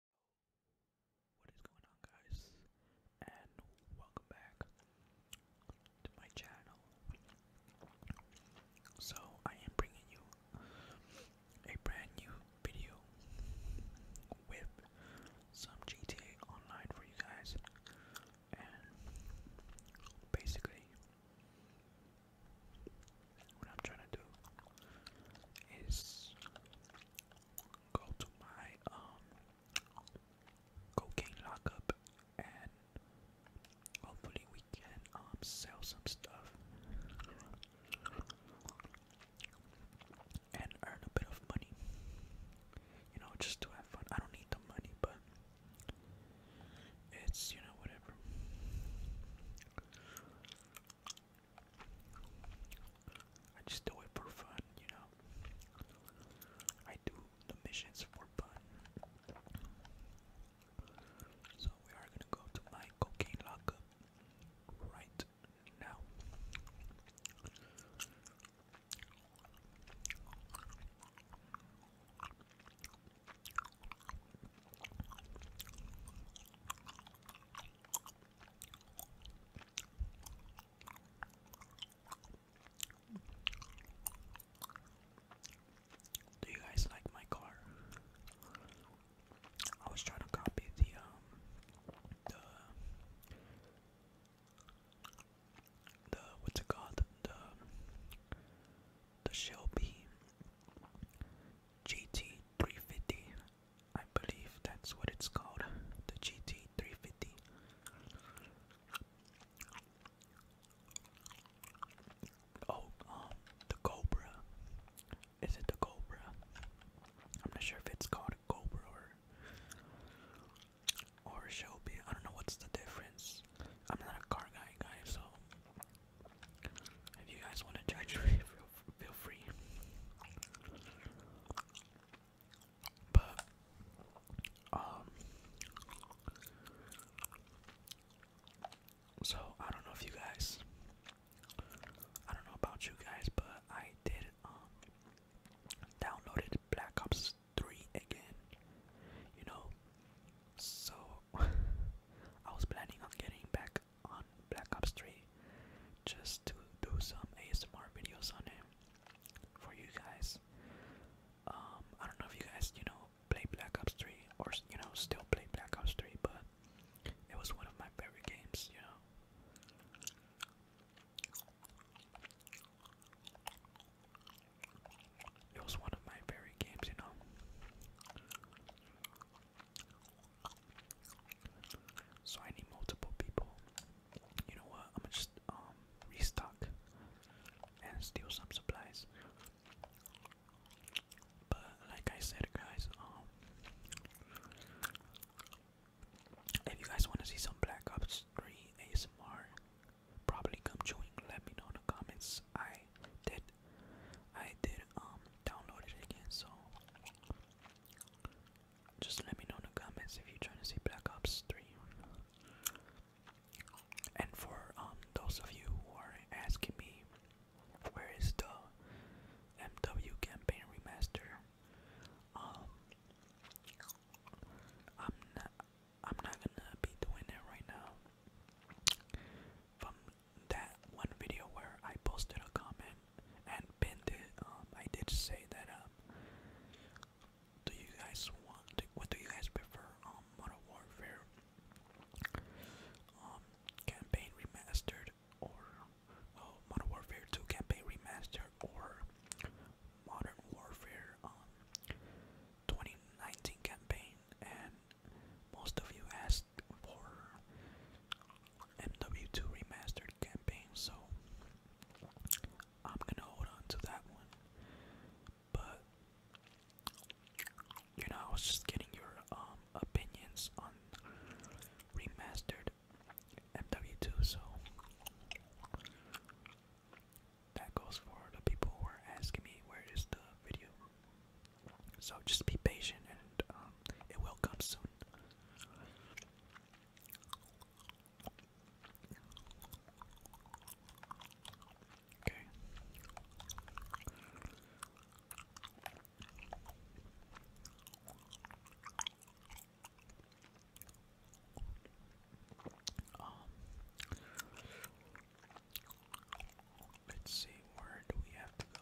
What is going on guys and welcome back to my channel. So I am bringing you a brand new video with some GTA Online for you guys and basically what I'm trying to do is go to my um, cocaine lockup and hopefully we can um, sell some stuff and earn a bit of money. You know, just to have fun. I don't need the money, but it's you know whatever. I just do it for fun, you know. I do the missions for fun. So we are gonna go to my cocaine lockup right now. Do you guys like my car? I was trying to copy the um the the what's it called the the Shelby GT350 I believe that's what it's called, the GT350. Oh, um, the Cobra. Is it the Cobra? I'm not sure if it's called a Cobra or or Shelby. I don't know what's the difference. I'm not a car guy, guy, so if you guys want to judge me, feel free. But um so I don't know if you guys I don't know about you guys but I did um downloaded Black Ops 3 again. You know so I was planning on getting back on Black Ops 3 just to do some ASMR videos on him for you guys. Um, I don't know if you guys, you know, play Black Ops 3 or, you know, still play Black Ops 3, but it was one of my favorite games, you know. It was one of my favorite games, you know. So I need multiple people. You know what? I'm gonna just um restock and steal some supplies. But like I said, guys, um, if you guys want to see some Black Ops 3 ASMR, probably come join. Let me know in the comments. I did, I did um download it again, so just let me know in the comments if you're trying to see Black Ops 3. And for um, those of you who are asking me where is the MW campaign remaster, um, I'm not I'm not gonna be doing that right now. From that one video where I posted a comment and pinned it. Um, I did say that. Um, do you guys want? what do you guys prefer? Um, Modern Warfare, um, campaign remastered, or oh, Modern Warfare Two campaign remastered, or Modern Warfare um 2019 campaign. And most of you asked for MW2 Remastered campaign, so I'm gonna hold on to that one. But you know, I was just getting your um opinions on remastered MW2, so that goes for the people who are asking me where is the video. So just be patient and um, it will come soon. Okay. Um, let's see, where do we have to go?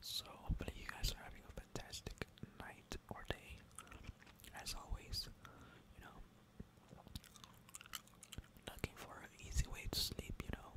So, hopefully, you guys are having a fantastic night or day. As always, you know, looking for an easy way to sleep, you know.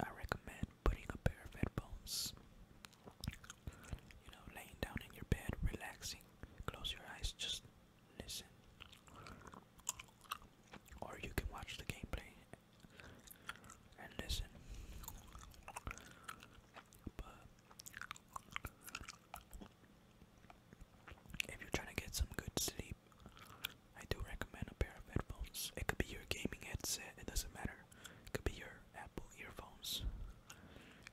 I recommend putting a pair of headphones, you know, laying down in your bed, relaxing, close your eyes, just listen. Or you can watch the gameplay and listen. But if you're trying to get some good sleep, I do recommend a pair of headphones. It could be your gaming headset, it doesn't matter. It could be your Apple earphones,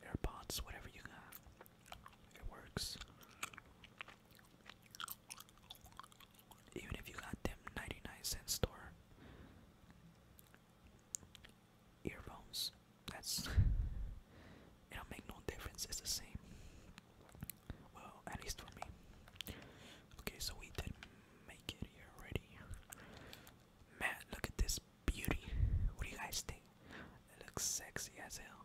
AirPods, whatever you got. It works. Even if you got them 99 cent store earphones, it'll make no difference, it's the same. Well, at least for me. Okay, so we did make it here already. Man, look at this beauty. What do you guys think? It looks sexy as hell.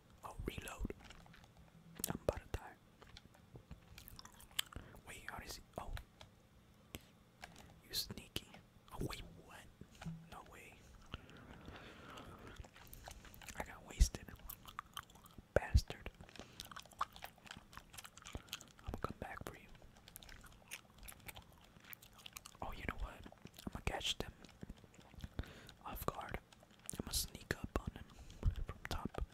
i reload. I'm about to die. Wait, how does Oh, you sneaky. Oh, wait, what? No way. I got wasted. Bastard. I'm gonna come back for you. Oh, you know what? I'm gonna catch them off guard. I'm gonna sneak up on him from top.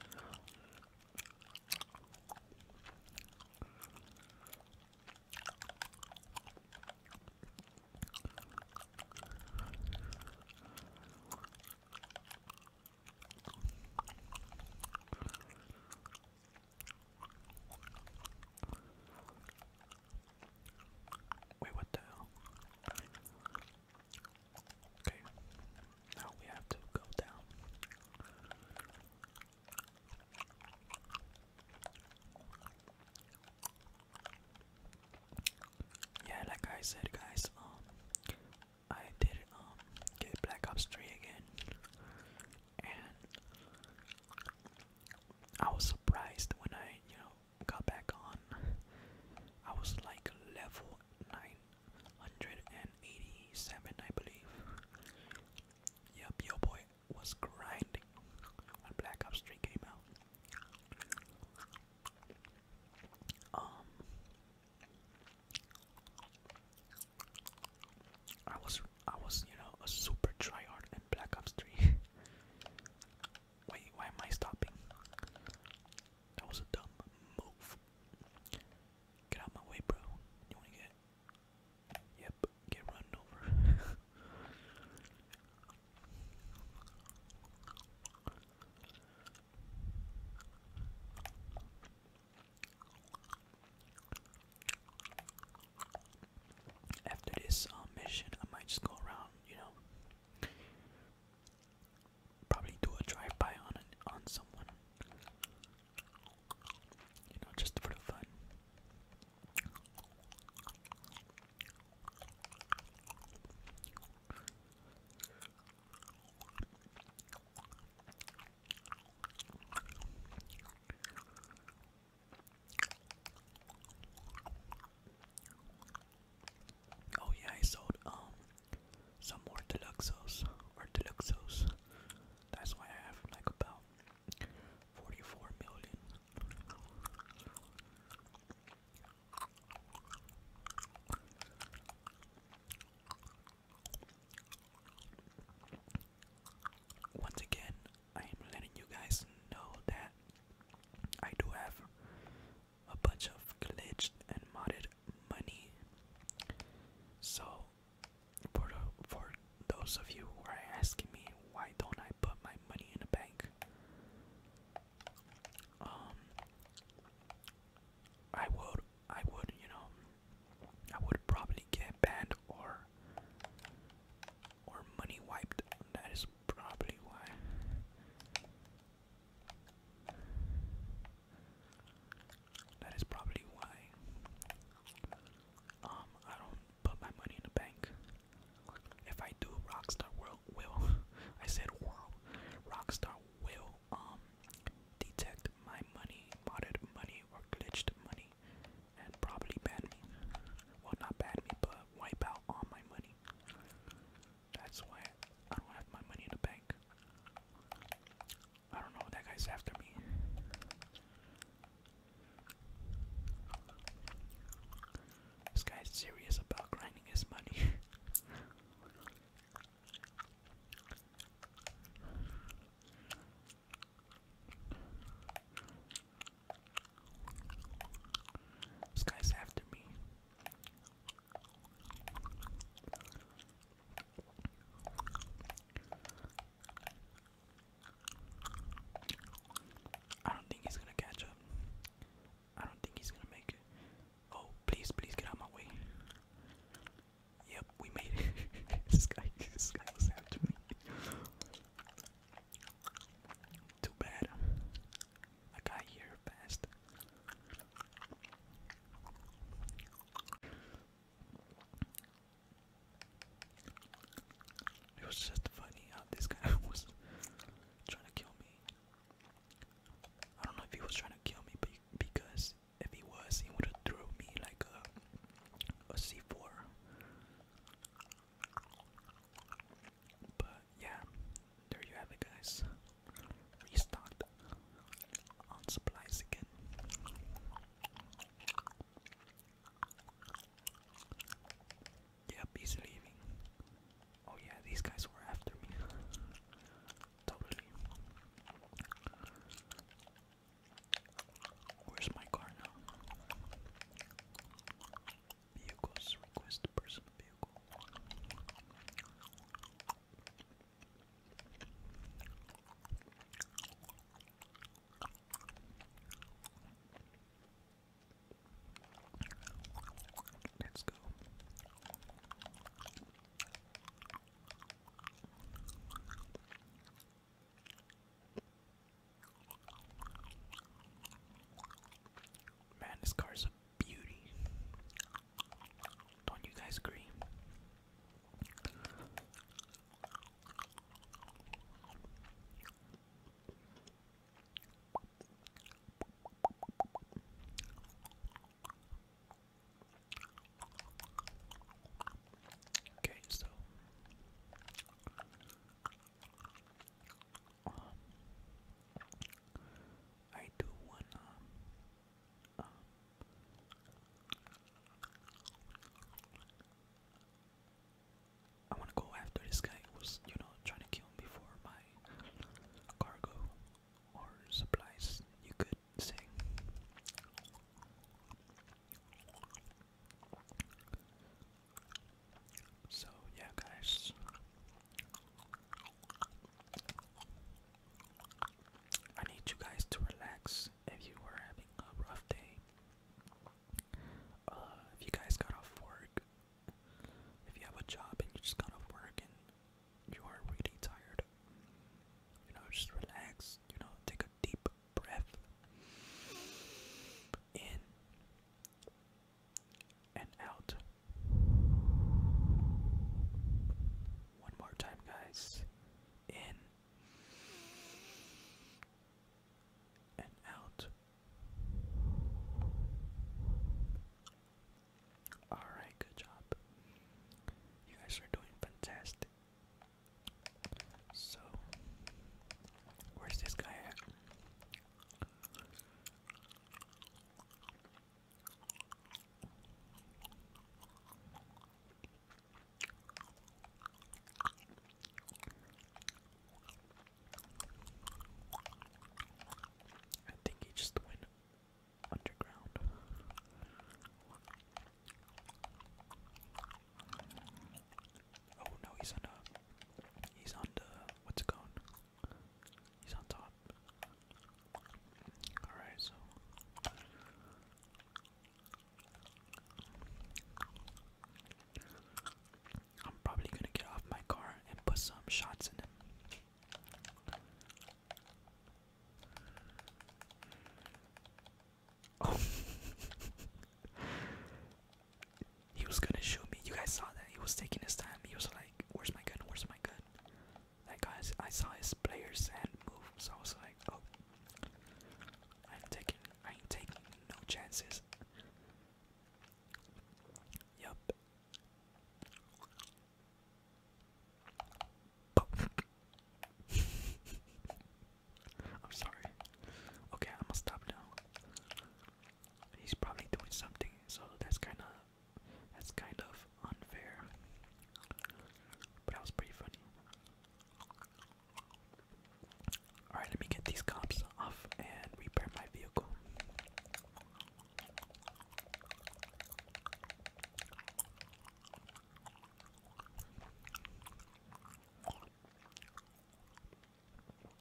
Wait, what the hell? Okay, now we have to go down. Yeah, like I said, guys, um, I did um get Black Ops 3 again, and I was surprised when I, you know, got back on. I was like level nine 187, I believe. Yup, your boy was grinding when Black Ops 3 came out. Um, I was, I was, you know, a super tryhard in Black Ops 3. Wait, why am I stopping? That was a dumb move. Get out my way, bro. You wanna get Yep, get run over. After this uh, mission, I might just go around, you know, probably do a drive by on on someone. You know, just for the fun. Oh yeah, I sold um some more deluxos or deluxos. That's why I have like about 44 million. Once again, I am letting you guys know that I do have a bunch of glitched and modded money. So, for, for those of you who are asking me why don't I put my money in a bank, um, I would, I would, you know, I would probably get banned or or money wiped. That is probably why. That is probably why um, I don't put my money in the bank. If I do, Rockstar will will I said will Rockstar will um, detect my money, modded money or glitched money, and probably ban me. Well, not ban me, but wipe out all my money. That's why I don't have my money in the bank. I don't know, that guy's after me. This guy's serious about grinding his money. This guy's after me. I don't think he's gonna catch up. I don't think he's gonna make it. Oh, please, please get out of my way. Yep, we made it. this guy, this guy was after me. Too bad. I got here fast. It was just funny how this guy was trying to kill me. I don't know if he was trying to kill me, but because if he was, he would have threw me like a a C4. But yeah, there you have it, guys. Restocked on supplies again. Yep, he's leaving. Oh, yeah, these guys were after me. totally. Where's my car now? Vehicles request personal vehicle. Let's go. Man, this car is beauty. Don't you guys agree? Okay, so um, I do wanna I want to go after this guy who's, you know, trying to kill me for my cargo or supplies, you could say. So, yeah, guys, I need you guys to relax if you are having a rough day. Uh, if you guys got off work, if you have a job and you just got off work and you are really tired, you know, just relax, you know, take a deep breath in and out. One more time, guys. In and out. Alright, good job. You guys are doing fantastic. So, where's this guy at? I think he just went underground. Oh no, he's on a. He's on the. What's it called? He's on top. Alright, so. I'm probably gonna get off my car and put some shots in him. Oh. he was gonna shoot me. You guys saw that. He was taking his time. He was like, Where's my gun? Where's my gun? Like I, I saw his player's and move, so I was like, oh, I'm taking, I ain't taking no chances. Yup. I'm sorry. Okay, I'm gonna stop now. He's probably doing something, so that's kind of that's kind of unfair. But that was pretty funny. Alright, let me get these cops off and repair my vehicle.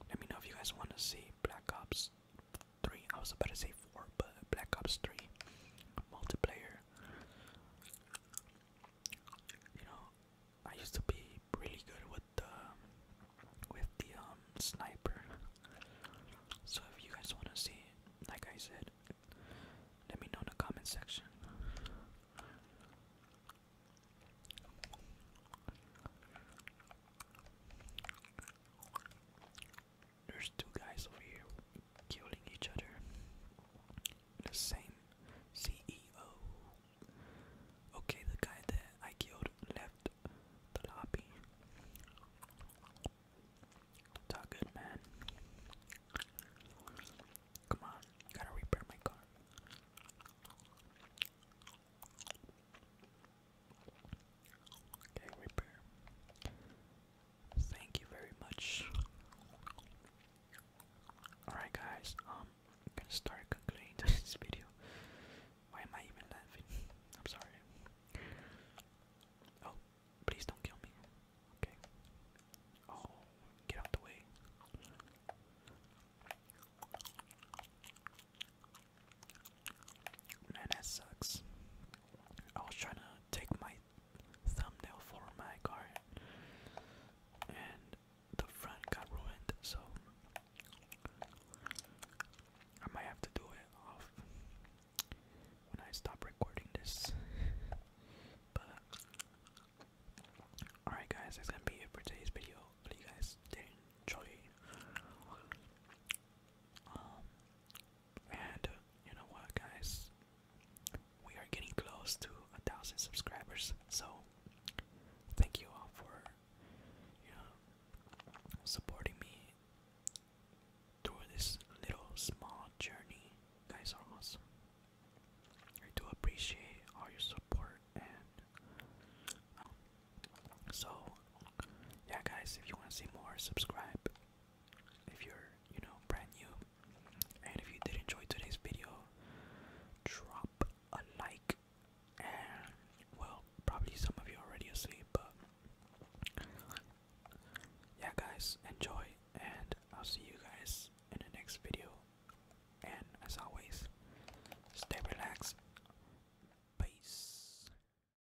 Let me know if you guys want to see Black Ops 3, I was about to say 4, but Black Ops 3 multiplayer. You know, I used to be really good with the with the um sniper. So if you guys want to see, like I said, let me know in the comment section. There's two guys over here killing each other. The same CEO. Okay, the guy that I killed left the lobby. good, man. Come on, gotta repair my car. Okay, repair. Thank you very much. Alright guys, um gonna start concluding this video. Why am I even laughing? I'm sorry. Oh, please don't kill me. Okay. Oh, get out the way. Man, that sucks. I was trying to take my thumbnail for my card, and the front got ruined, so I might have to do it off when I stop recording this. but alright, guys, that's gonna be it for today's video. Hope you guys did enjoy. Um, and you know what, guys? We are getting close to a thousand subscribers, so thank you all for you know supporting me through this little small journey. guys are awesome. I do appreciate all your support and um, so yeah, guys. If you want to see more, subscribe if you're, you know, brand new. And if you did enjoy today's video, drop a like. And, well, probably some of you already asleep, but yeah, guys, enjoy. And I'll see you guys in the next video. And as always, stay relaxed. Peace.